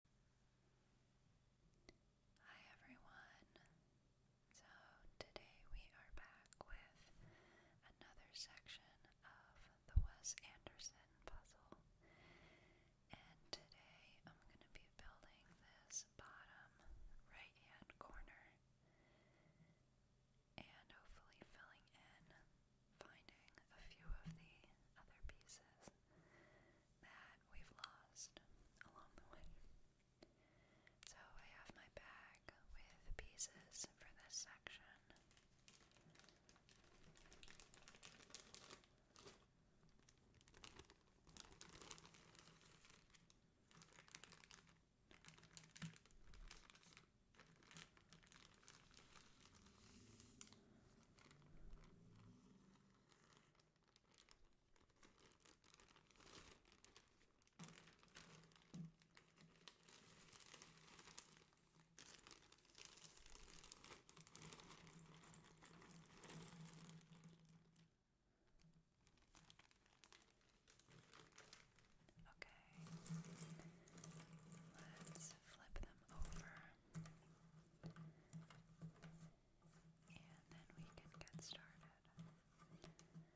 Hi everyone. So today we are back with another section of the Wes Anderson puzzle. And today I'm going to be building this bottom right hand corner and hopefully filling in finding a few of the other pieces that we've lost along the way. So I have my bag with pieces for this section. Okay, let's flip them over. And then we can get started. Or we can get started as we flip them over.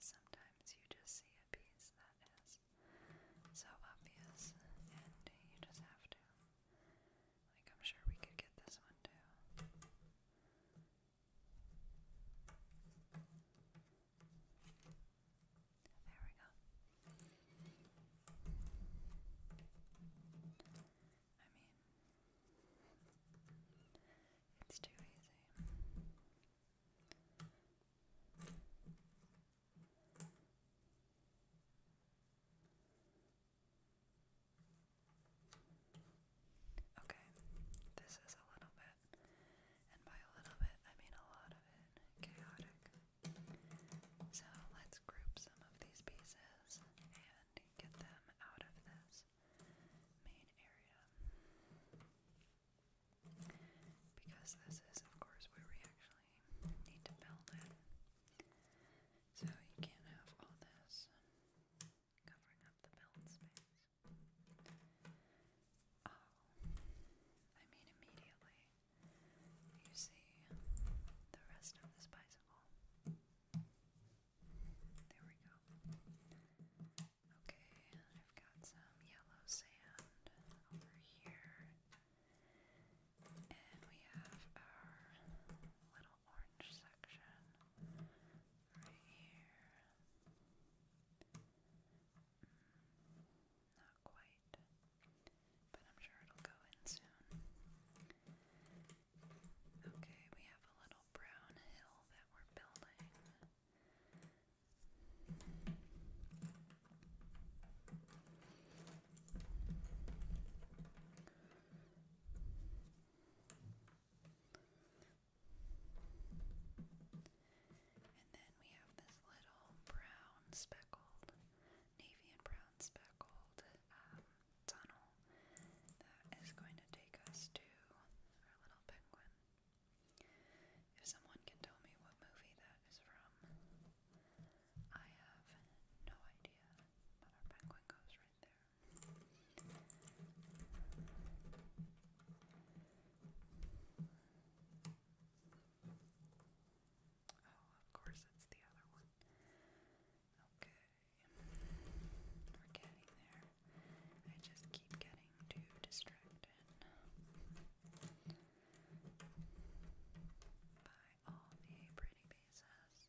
Sometimes you just see a piece that is so obvious, and you just have to like, I'm sure we could get this one too. There we go. I mean, it's too easy. Okay, this is a little bit, and by a little bit I mean a lot of it, chaotic. So let's group some of these pieces and get them out of this main area. Because this is, of course, where we actually need to build it. So you can't have all this covering up the build space. Oh, I mean, immediately you see the rest of this bicycle. There we go. Okay, I've got some yellow sand over here. And we have our little little orange section right here. Mm, not quite, but I'm sure it'll go in soon. Okay, we have a little brown hill that we're building. And then we have this little brown speckled, navy and brown speckled um, tunnel that is going to take us to our little penguin. If someone can tell me what movie that is from, I have no idea. But our penguin goes right right there. Oh, of course, it's the other one. Okay, we're getting there. I just keep getting too distracted by all the pretty pieces.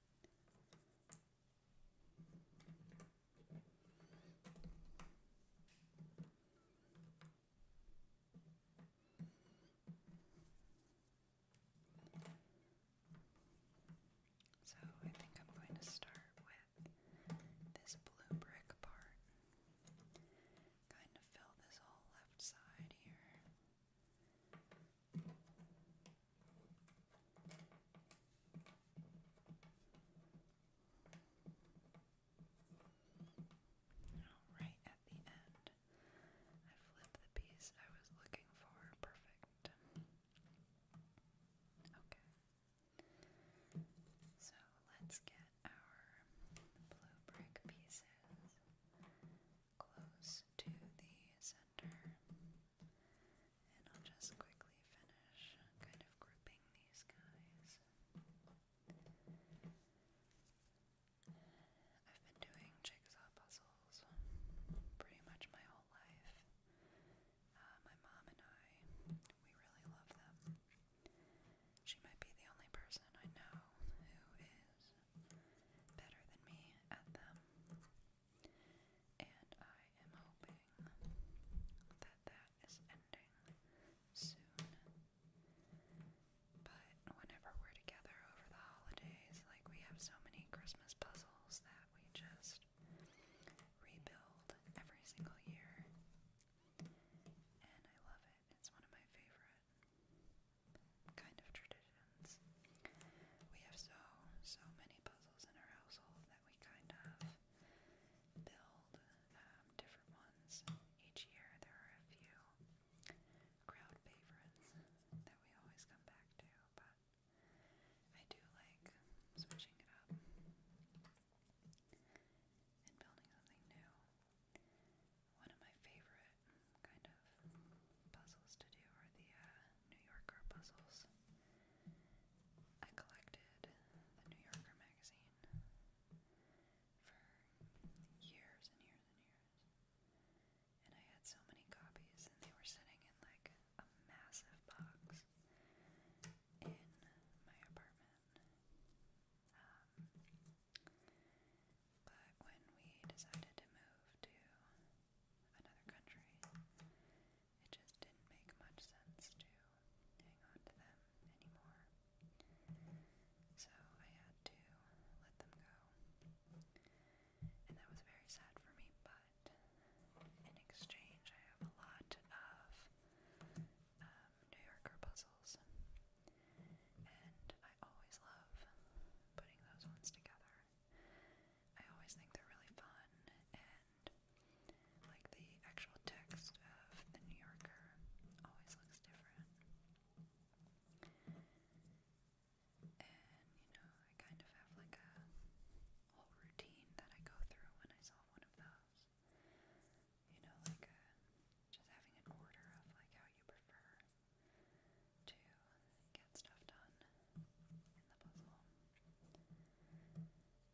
So I think I'm going to start with this blue brick part. Kind of fill this whole left side here. Right at the end, I flipped the piece I was looking for. Perfect. Okay. So let's get our blue brick pieces close to the center. And I'll just quickly finish kind of grouping these guys. I've been doing jigsaw puzzles pretty much my whole life. Uh, my mom and I, we really love them. She might be the only person I know who is better than me at them. And I am hoping that that is ending soon. But whenever we're together over the holidays, like we have so many Christmas puzzles that we just rebuild every single year. And I love it. It's one of my favorite kind of traditions. We have so, so many puzzles in our household that we kind of build um, different ones each year. There are a few crowd favorites that we always come back to, but I do like switching it up and building something new. One of my favorite kind of puzzles to do are the uh, New Yorker puzzles. I collected the New Yorker magazine for years and years and years. And I had so many copies, and they were sitting in like a massive box in my apartment. Um, but when we decided to move to another country, it just didn't make much sense to hang on to them anymore. So I had to let them go. And that was very sad for me, but in exchange, I have a lot of um, New Yorker puzzles. And I always love putting those ones together are. I always think they're really fun, and like the actual text of The New Yorker always looks different. And you know, I kind of have like a whole routine that I go through when I solve one of those. You know, like uh, just having an order of like how you prefer to get stuff done in the puzzle.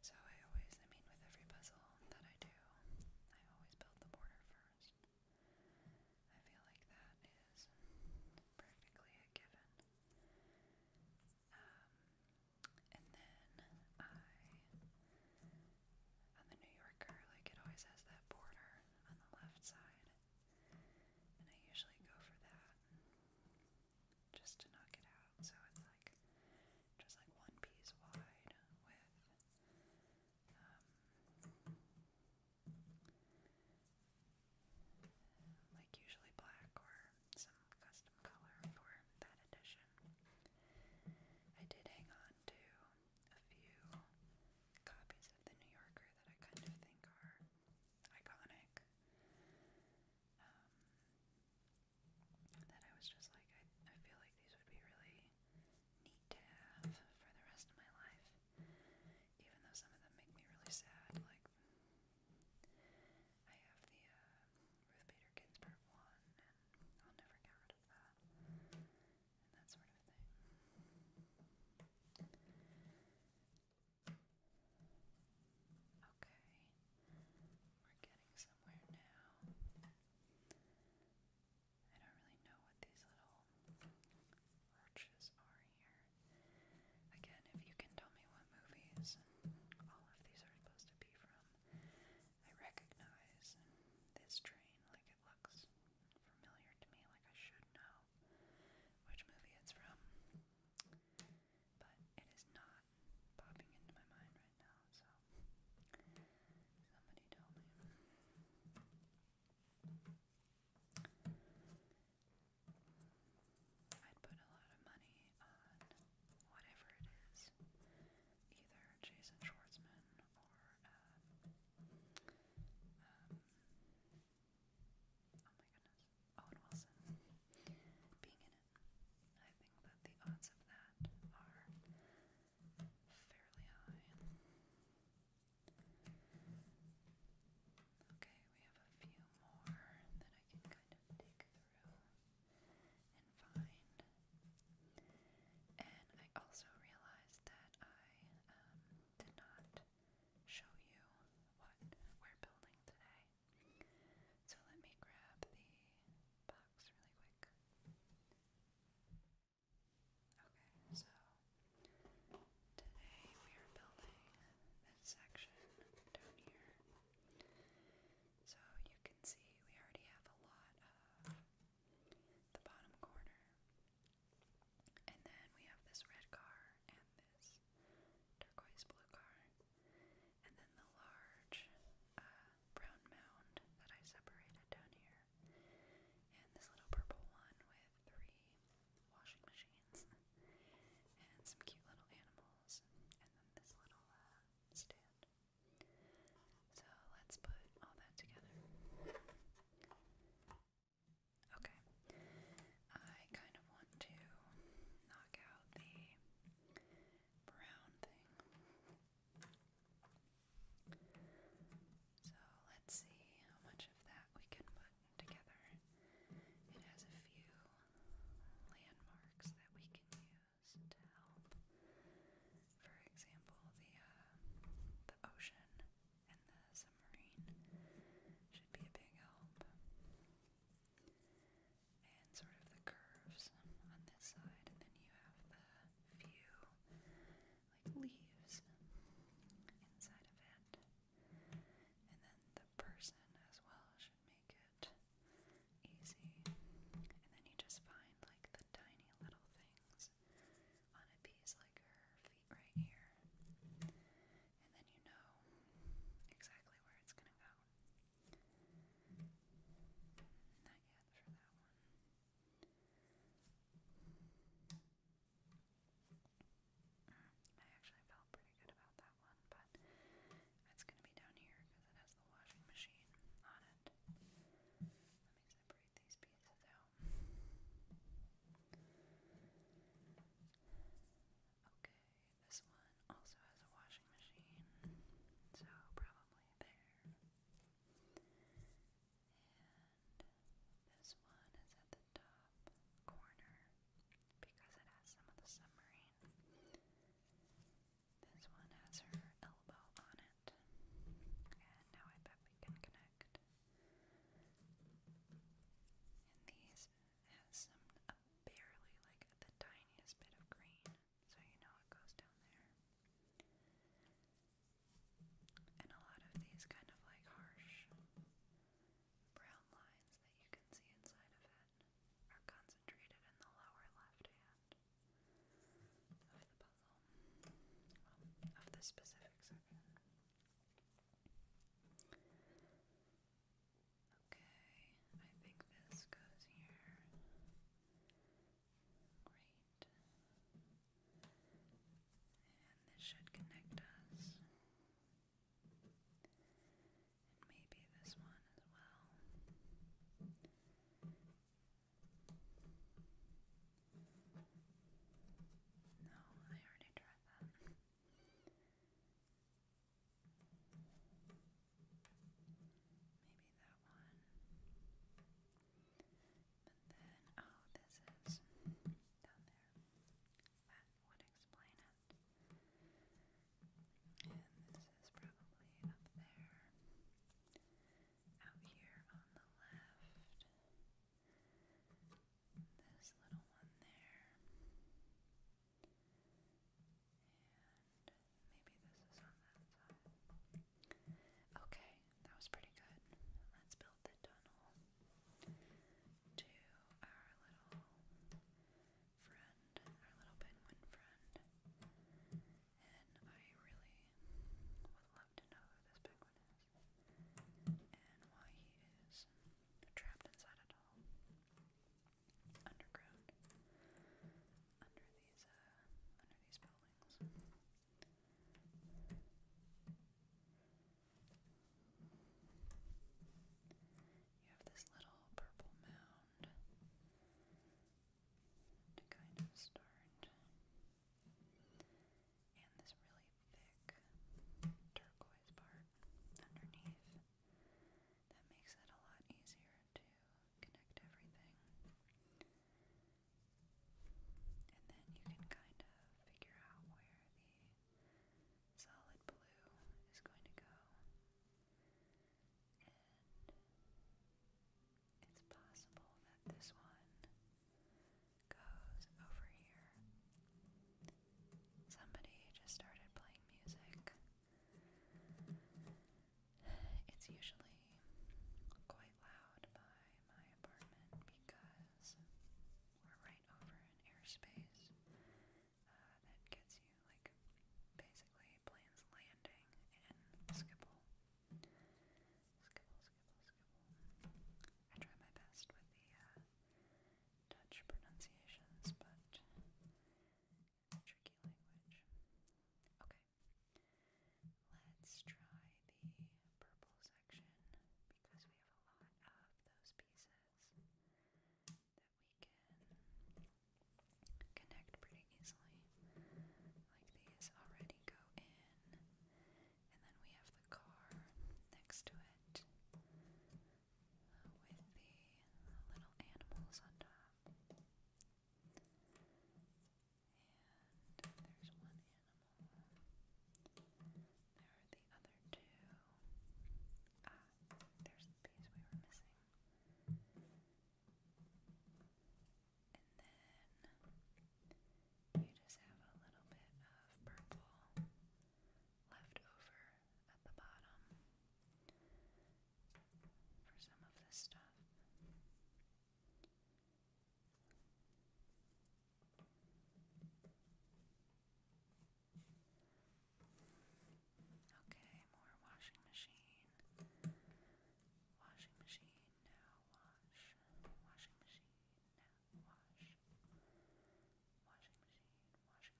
So I always, I mean, with every puzzle that I do, I always build the border first. I feel like that is practically a given. Um, and then I, on the New Yorker, like it always has that border on the left side. And I usually go for that just to knock it out. So it's like just like one piece wide with um, like usually black or some custom color for that edition. I did hang on to a few copies of The New Yorker that I kind of think are iconic. Um, that I was just like, I, I feel like these would be really neat to have for the rest of my life. Even though some of them make me really sad, like I have the uh, Ruth Bader Ginsburg one, and I'll never get rid of that and that sort of thing. Okay, we're getting somewhere now. I don't really know what these little roaches are here. Again, if you can tell me what movies all of these are supposed to be from, I recognize this train, like it looks familiar to me, like I should know know which movie it's from, but it is not popping into my mind right now, so somebody tell me. I'd put a lot of money on whatever it is, either Jason Schwartzman or uh, um, Oh my goodness. Owen Wilson being in it. I think that the odds of that are fairly high. Okay, we have a few more that I can kind of dig through and find. And I also realized that I um, did not show you what we're building today. So let me grab the box really quick. Okay, so today we are building this section down here. So you can see we already have a lot of the bottom corner and then we have this red car and this turquoise blue car. And then the large uh, brown mound that I separated down here. And this little purple one with three washing machines. and some cute little animals. And then this little uh, stand. So let's put all that together. Okay. I kind of want to knock out the brown thing. So let's see how much of that we can put together. It has a few landmarks that we can use to help. For example, the uh, the ocean and the submarine should be a big help. And sort of the curves on this side, and then you have the few like leaves inside of it. And then the person as well should make it easy. And then you just find like the tiny little things piece on a piece like her feet right here. And then you know exactly where it's gonna go. Not yet for that one. I actually felt pretty good about that one, but it's gonna be down here because it has the washing machine on it. Let me separate separate these pieces out. Okay, this one also has a washing machine, so probably there. And this one is at the top corner because it has some of the submarine. This one has her elbow on it. And now I bet we can connect and these has some uh, barely like the tiniest bit of green, so you know it goes down there. And a lot of these kind of like harsh brown lines that you can see inside of it are concentrated in the lower left hand of the puzzle, of the specific section. Okay, I think this goes here. Great. And this should connect us. maybe this one as well. No, I already tried that. Maybe that one. But then, oh, this is down there. That would explain it. And this is probably up there. Out here on the left this little one there. And maybe this is on that side. Okay, that was pretty good. Let's build the tunnel to our little friend, our little penguin friend. And I really would love to know who this penguin and why he is trapped inside a all. Underground. Under these under these buildings. You have this little purple mound to kind of start and this really thick turquoise part underneath that makes it a lot easier to connect everything. And then you can kind of figure out where the solid blue is going to go. And it's possible that this one goes over here. Somebody just started playing music. It's usually quite loud by my apartment because we're right over an airspace uh, that gets you, like, basically planes landing in Skipple basketball. I try my best with the uh, pronunciations, but tricky language. Okay, let's try the purple section because we have a lot of those pieces that we can connect pretty easily. Like these already go in and then we have the car next to it uh, with the little animals on top. And there's one animal. There are the other two. Ah, there's the piece we were missing. And then you just have a little bit of purple left over at the bottom for some of this stuff. Okay, more washing machine. Washing machine now wash. Washing machine now wash, washing machine, washing machine.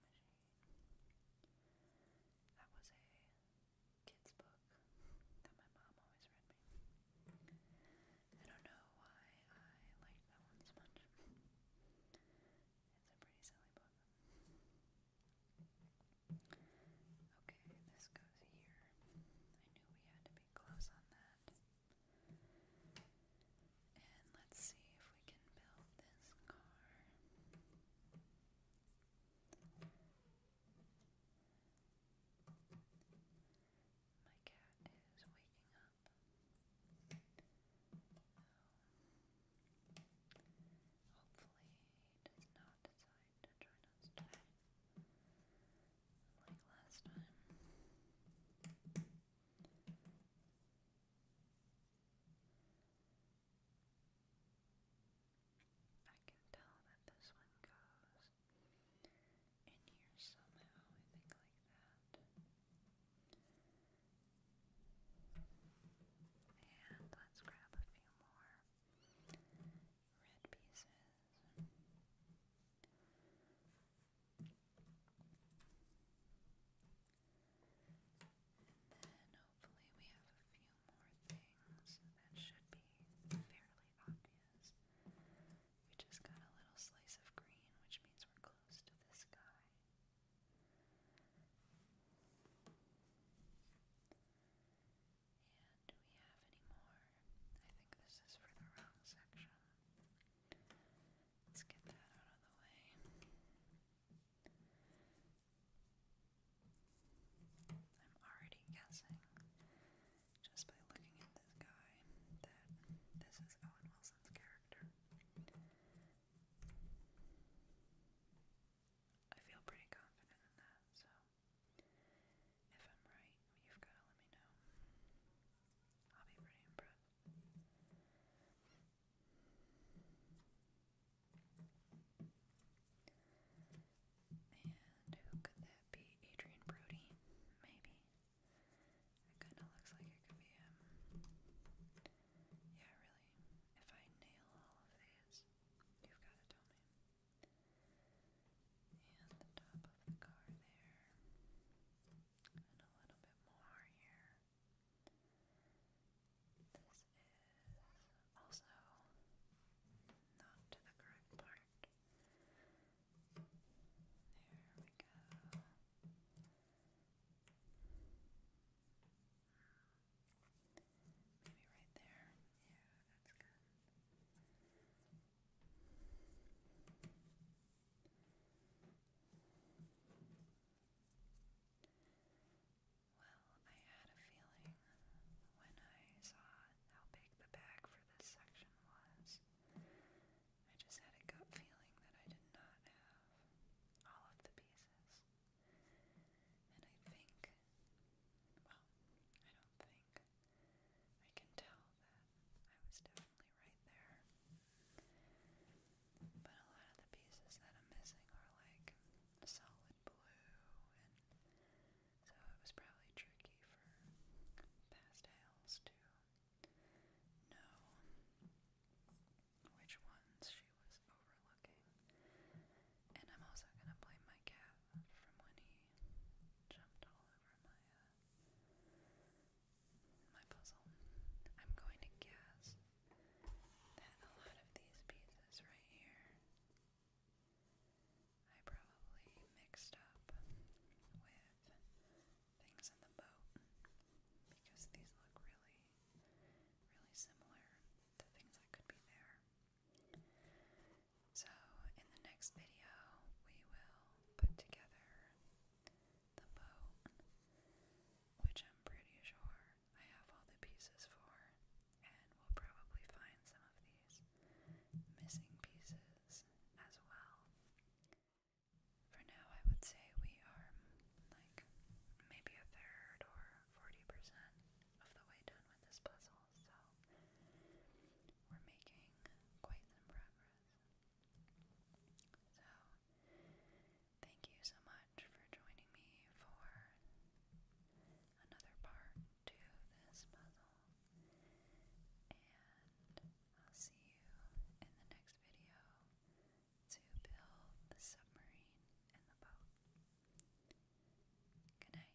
That was a kid's book that my mom always read me. I don't know why I like that one so much. It's a pretty silly book. Okay, this goes here. I knew we had to be close on that. And let's see if we can build this car. My cat is waking up. Um, hopefully, he does not decide to join us today like last time. I can tell that this one goes in here somehow, I think like that. And let's grab a few more red pieces. And then hopefully we have a few more things that should be fairly obvious. We just got a little slice of green, which means we're close to the sky. And do we have any more? I think this is for the wrong section. Let's get that out of the way. I'm already guessing, just by looking at this guy, that this is Owen Wilson's character. I feel pretty confident in that, so if I'm right, you've got to let me know. I'll be pretty impressed. And who could that be? Adrian Brody, maybe. It kind of looks like it could be him. Yeah, really. If I nail all of these, you've got to tell me and the top of the car there, and a little bit more here. This is also not the correct part. There we go. Maybe right there. Yeah, that's good. Well, I had a feeling when I saw how big the bag for this section was. I just had a gut feeling that I did not have all of the pieces. And I think, well, I don't think. I can tell that I was definitely right there. But a lot of the pieces that I'm missing are like solid blue, and so it was probably tricky for pastels to know which ones she was overlooking. And I'm also gonna blame my cat from when he jumped all over my uh, my puzzle. I'm going to guess that a lot of these pieces right here I probably mixed up with things in the boat because these look really, really similar to things that could be there. So, in the next video, we will put together the boat, which I'm pretty sure I have all the pieces for, and we'll probably find some of these missing pieces as well. For now, I would say we are like maybe a third or 40% of the way done with this puzzle, so we're making quite some progress. So, thank you so much for joining me for another part to this puzzle, and I'll see you in the next video to build the submarine and the boat. Good night.